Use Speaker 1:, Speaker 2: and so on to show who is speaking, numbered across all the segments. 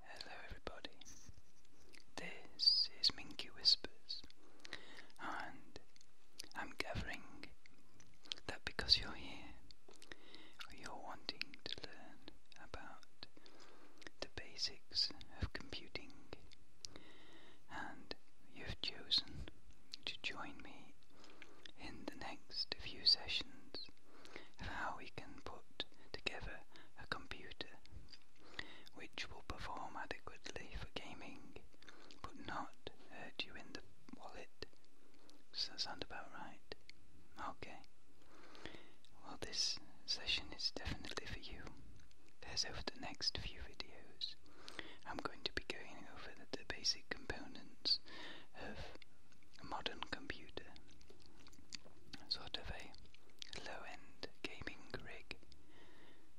Speaker 1: Hello, everybody. This is Minky Whispers, and I'm gathering that because you're here, you're wanting to learn about the basics basics of computing, and you've chosen to join me in the next few sessions of how we can put together a computer which will perform adequately for gaming but not hurt you in the wallet. Does that sound about right? Okay. Well, this session is definitely for you. As over the next few videos, I'm going to be going over the, basic components of a modern computer, sort of a low-end gaming rig,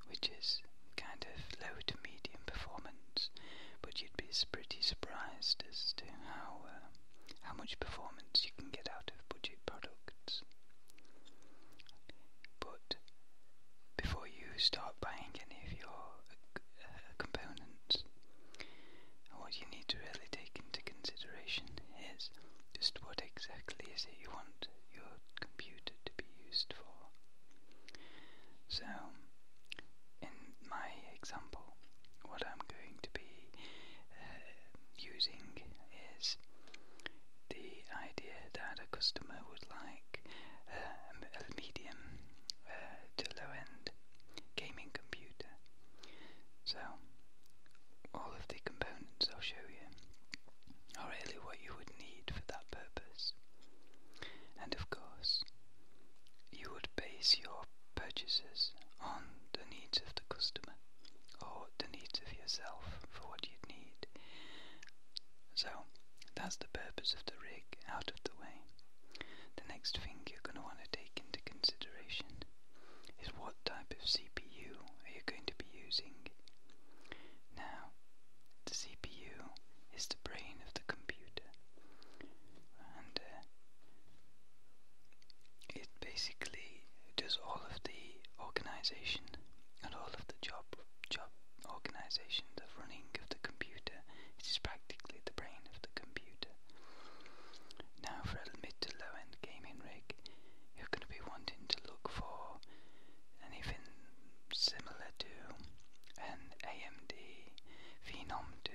Speaker 1: which is kind of low to medium performance, but you'd be pretty surprised as to how uh, how much performance you can get out of budget products but before you start buying any of your uh, components, what you need to really take into consideration is just what exactly is it you want your computer to be used for. So, in my example, what I'm going to be uh, using is the idea that a customer would like uh, a medium uh, to low end gaming computer. So, all of the components I'll show you are really what you would need for that purpose. And of course, you would base your purchases on the needs of the customer or the needs of yourself for what you need. So that's the purpose of the rig out of the way. The next thing you're going to want to take into consideration is what type of CPU are you going to be using. Now, the CPU is the brain of the computer, uh, it basically does all of the organization and all of the job job organization, the running of the computer. It is practically the brain of the computer. Now for a mid to low end gaming rig, you're going to be wanting to look for anything similar to an AMD Phenom 2,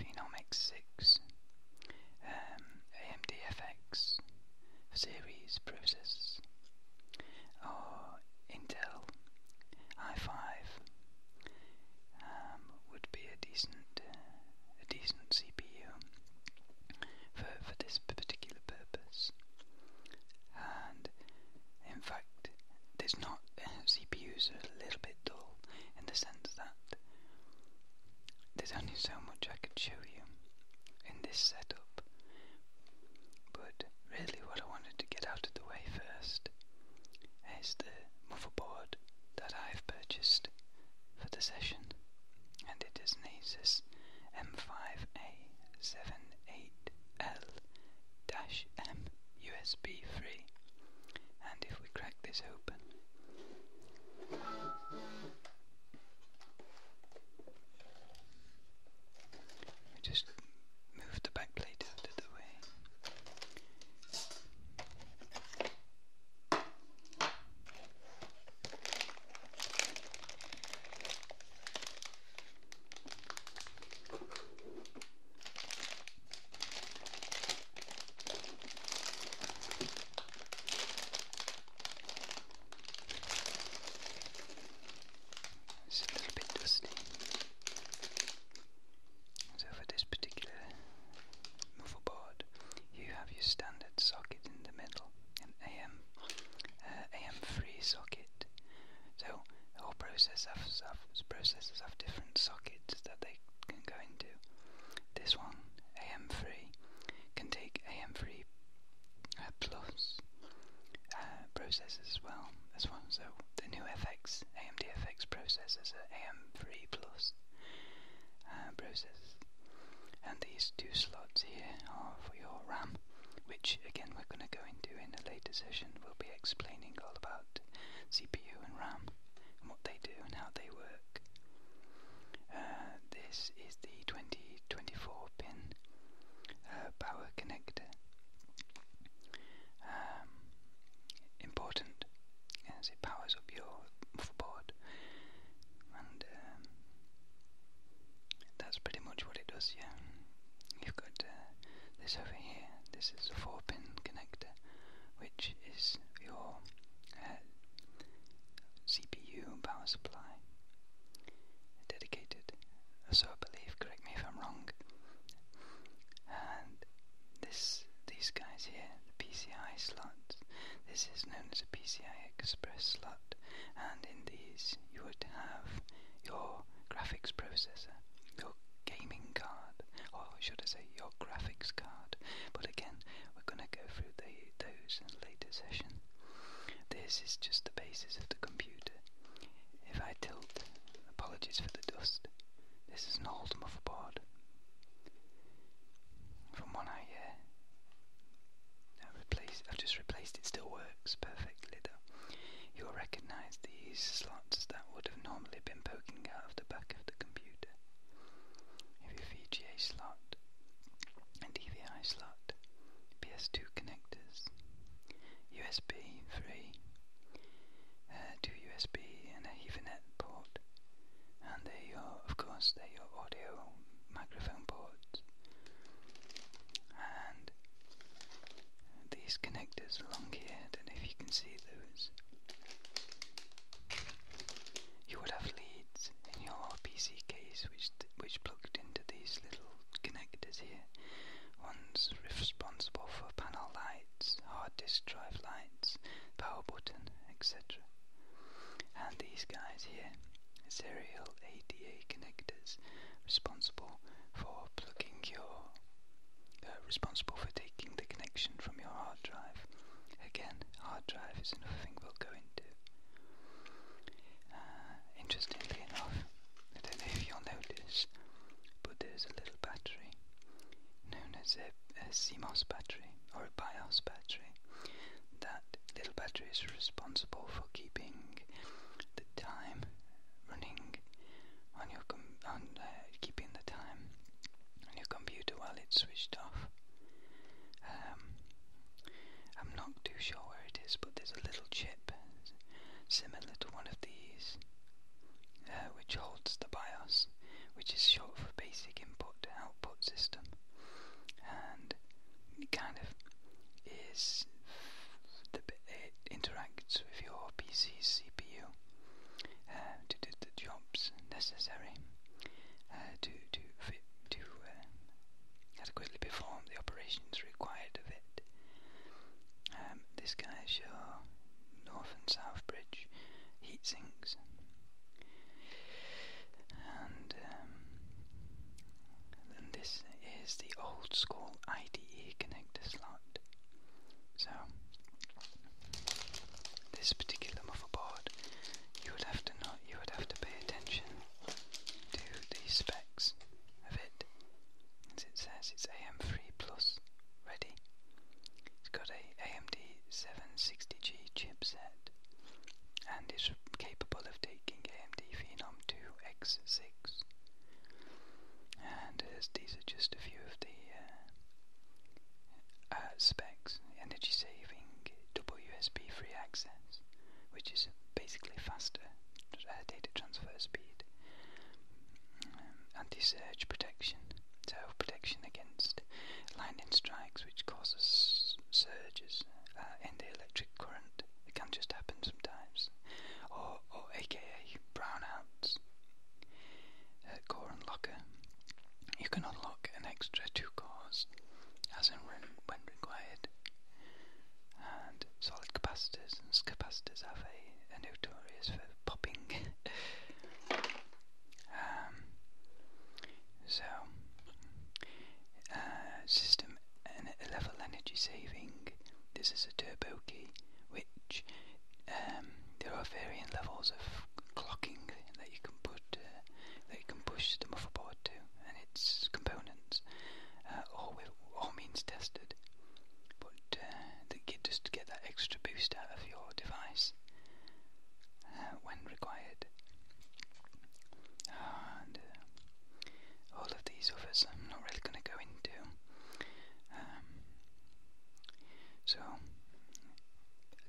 Speaker 1: Phenom X6, um, AMD-FX series processors or Intel i5 um, would be a decent a decent CPU for, for this particular purpose and in fact there's not CPUs are a little bit dull in the sense that there's only so much I can show you in this setup, but really what I wanted to get out of the way first is the motherboard that I've purchased for the session, and it is an Asus m 5 a 78 l USB 3, and if crack this open. We just move the back plate out of the way. It's a little bit dusty. So for this particular muffle you have your standard socket in the middle, an AM uh, AM3 socket. So all whole process has, processes have different sockets that they can go into. This one, AM3, can take AM3 uh, plus uh, processors as well. As well, so the new FX AMD FX processors are AM3 plus uh, processors, and these two slots here are for your RAM, which again we're going to go into in a later session. We'll be explaining all about CPU and RAM and what they do and how they work. Uh, this is the 2024 pin uh, power connector. Um, important as it powers up your motherboard, and um, that's pretty much what it does. Yeah, you've got uh, this over here. This is a four-pin connector which is your uh, CPU power supply dedicated, so I believe, correct me if I'm wrong. And this, these guys here, the PCI slots, this is known as a PCI Express slot, and in these you would have your graphics processor, gaming card, or should I say your graphics card. But again, we're going to go through those in later session. This is just the basis of the computer. If I tilt, apologies for the dust, this is an old motherboard from one I, uh, I have just replaced it, still works perfectly You'll recognise these slots that would have normally been poking out of the back of the computer. If VGA slot and DVI slot, PS2 connectors, USB 3, uh, two USB and a Ethernet port, and they're of course, they're audio microphone ports, and these connectors along here. I don't know if you can see those. You would have leads in your PC case which, which plugged into these little connectors here. One's responsible for panel lights, hard disk drive lights, power button, etc. And these guys here, serial ADA connectors, responsible for plugging your uh, responsible for taking the connection from your hard drive. Again, hard drive is another thing we'll go into. Uh, interestingly enough, I don't know if you'll notice, but there's a little battery known as a CMOS battery or a BIOS battery. That little battery is responsible for keeping the time running on your uh, keeping the time on your computer while it's switched off. Um, I'm not too sure where it is, but there's a little chip similar to one of these, uh, which holds the BIOS, which is short for Basic Input Output System, and it kind of is the interacts with your PC's CPU uh, to do the jobs necessary uh, to to fit, to uh, adequately perform the operations required of it. Um, this guy is your north and south bridge heat sinks and um, then this is the old school IDE connector slot so, this particular motherboard, you would have to you would have to pay attention to the specs of it. As it says, it's AM3 Plus ready. It's got an AMD 760G chipset, and is capable of taking AMD Phenom 2 X6 and these are just a few of the uh, uh, specs. Energy saving, double USB free access, which is basically faster uh, data transfer speed. Um, anti-surge protection, so protection against lightning strikes which causes surges in the electric current. It can just happen sometimes. or aka brownouts Core uh, Unlocker, you can unlock an extra two cores as and when required. And solid capacitors capacitors have a, notorious for popping. um, so, uh, system and uh, level energy saving. This is a turbo key which um, there are varying levels of clocking that you can put uh, that you can push the motherboard to and its components, uh, all all means tested, but uh, that get, just to get that extra boost out of your device when required. And all of these offers I'm not really going to go into. Um, so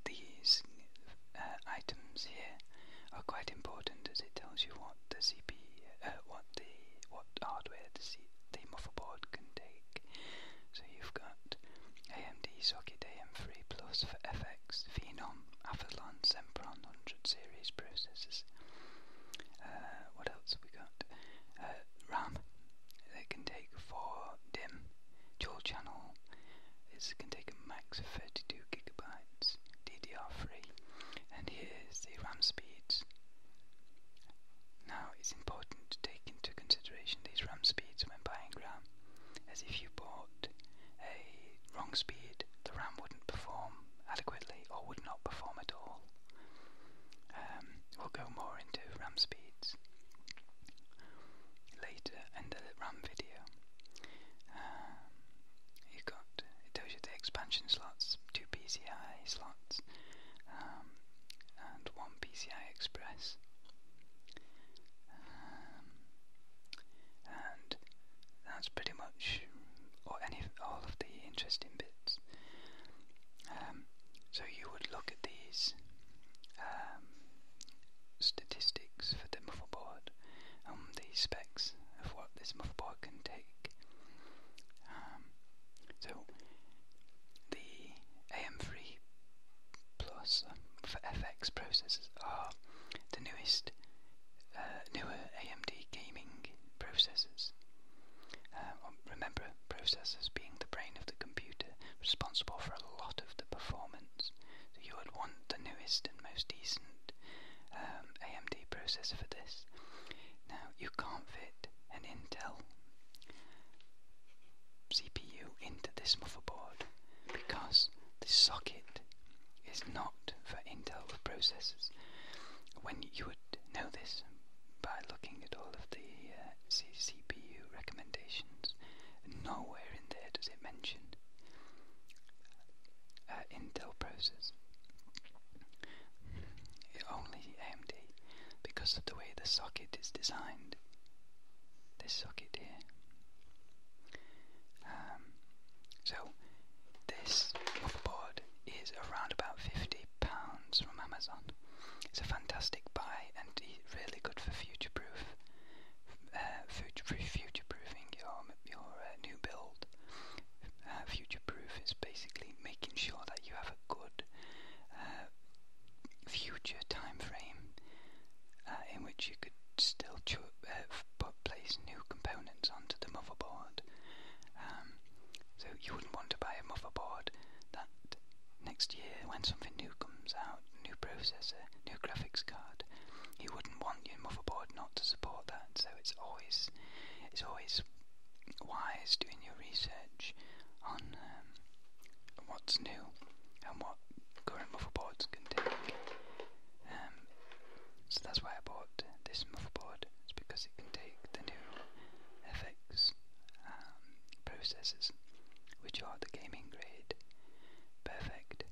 Speaker 1: these uh, items here are quite important as it tells you what the CP, uh, what the what hardware the C, the can take. So you've got AMD socket AM3 Plus for FX, Phenom, Athlon, Sempron 100 series processors. Uh, what else have we got? Uh, RAM that can take four DIM dual channel is can take a max of 32 gigabytes DDR3 and here's the RAM speeds now it's important to take into consideration these RAM speeds when buying RAM as if you bought a wrong speed the RAM wouldn't perform adequately or would not perform at all um, we'll go more into RAM speeds later in the RAM video. Um, you've got it tells you the expansion slots, two PCI slots, um, and one PCI Express. and that's pretty much or any all of the interesting bits. Um, so you would look at these um, statistics for the motherboard and the specs of what this motherboard can take. Um, so the AM3 Plus uh, for FX processors are the newest, uh, newer AMD gaming processors. Uh, um, remember, processors being the brain of the computer, responsible for a lot of the performance. you would want the newest and most decent um, AMD processor for this. Now, you can't fit an Intel CPU into this motherboard because the socket is not for Intel processors. When you would know this by looking at all of the uh, CPU recommendations. Nowhere in there does it mention uh, Intel processors. Only AMD, because of the way the socket is designed. This socket here. Um, so this motherboard is around about fifty pounds from Amazon. It's a fantastic buy and really good for uh, future proof, future proofing your your uh, new build. Uh, future proof is basically making sure that you have a good future time frame in which you could still have but place new components onto the motherboard. Um, so you wouldn't want to buy a motherboard that next year when something new comes out, new processor, new graphics card, you wouldn't want your motherboard not to support that. So it's always it's always wise doing your research on um, what's new and what current motherboards can take. Um, so that's why I bought this motherboard, it's because it can take the new FX um, processors, which are the gaming grade, perfect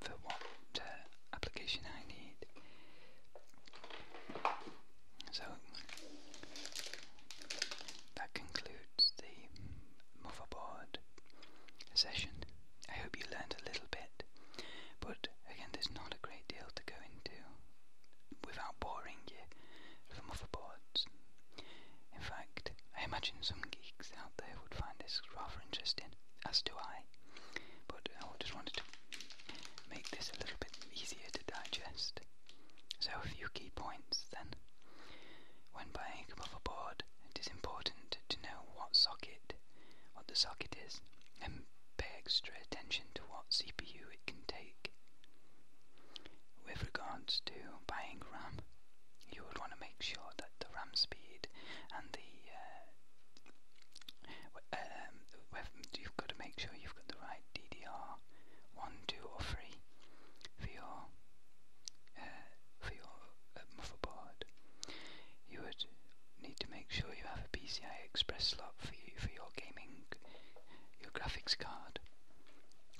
Speaker 1: for what uh, application I need. So that concludes the motherboard session. I hope you learned a little bit. But again, there's not a great deal to go into without boring you from motherboards. In fact, I imagine some geeks out there would find this rather interesting, as do I. But I just wanted to make this a little bit easier to digest. So, a few key points then. When buying a motherboard, it is important to know what socket what the socket is and pay extra attention to what CPU it can take. With regards to buying RAM, you would want to make sure that the RAM speed and the uh, um, you've got to make sure you've got the right DDR one, two, or three for your uh, for your uh, motherboard. You would need to make sure you have a PCI Express slot for you for your gaming, your graphics card,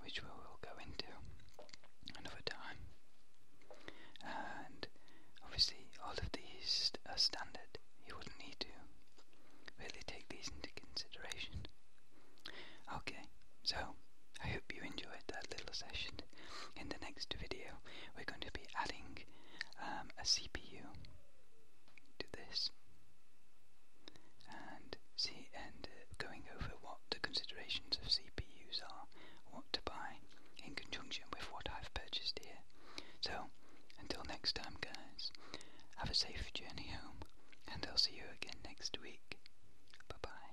Speaker 1: which we will go into another time. And obviously, all of these are standard. You wouldn't need to really take these into consideration. Okay, so I hope you enjoyed that little session in the next video we're going to be adding um, a CPU to this and see and uh, going over what the considerations of CPUs are, what to buy in conjunction with what I've purchased here. So until next time guys, have a safe journey home and I'll see you again next week. Bye bye.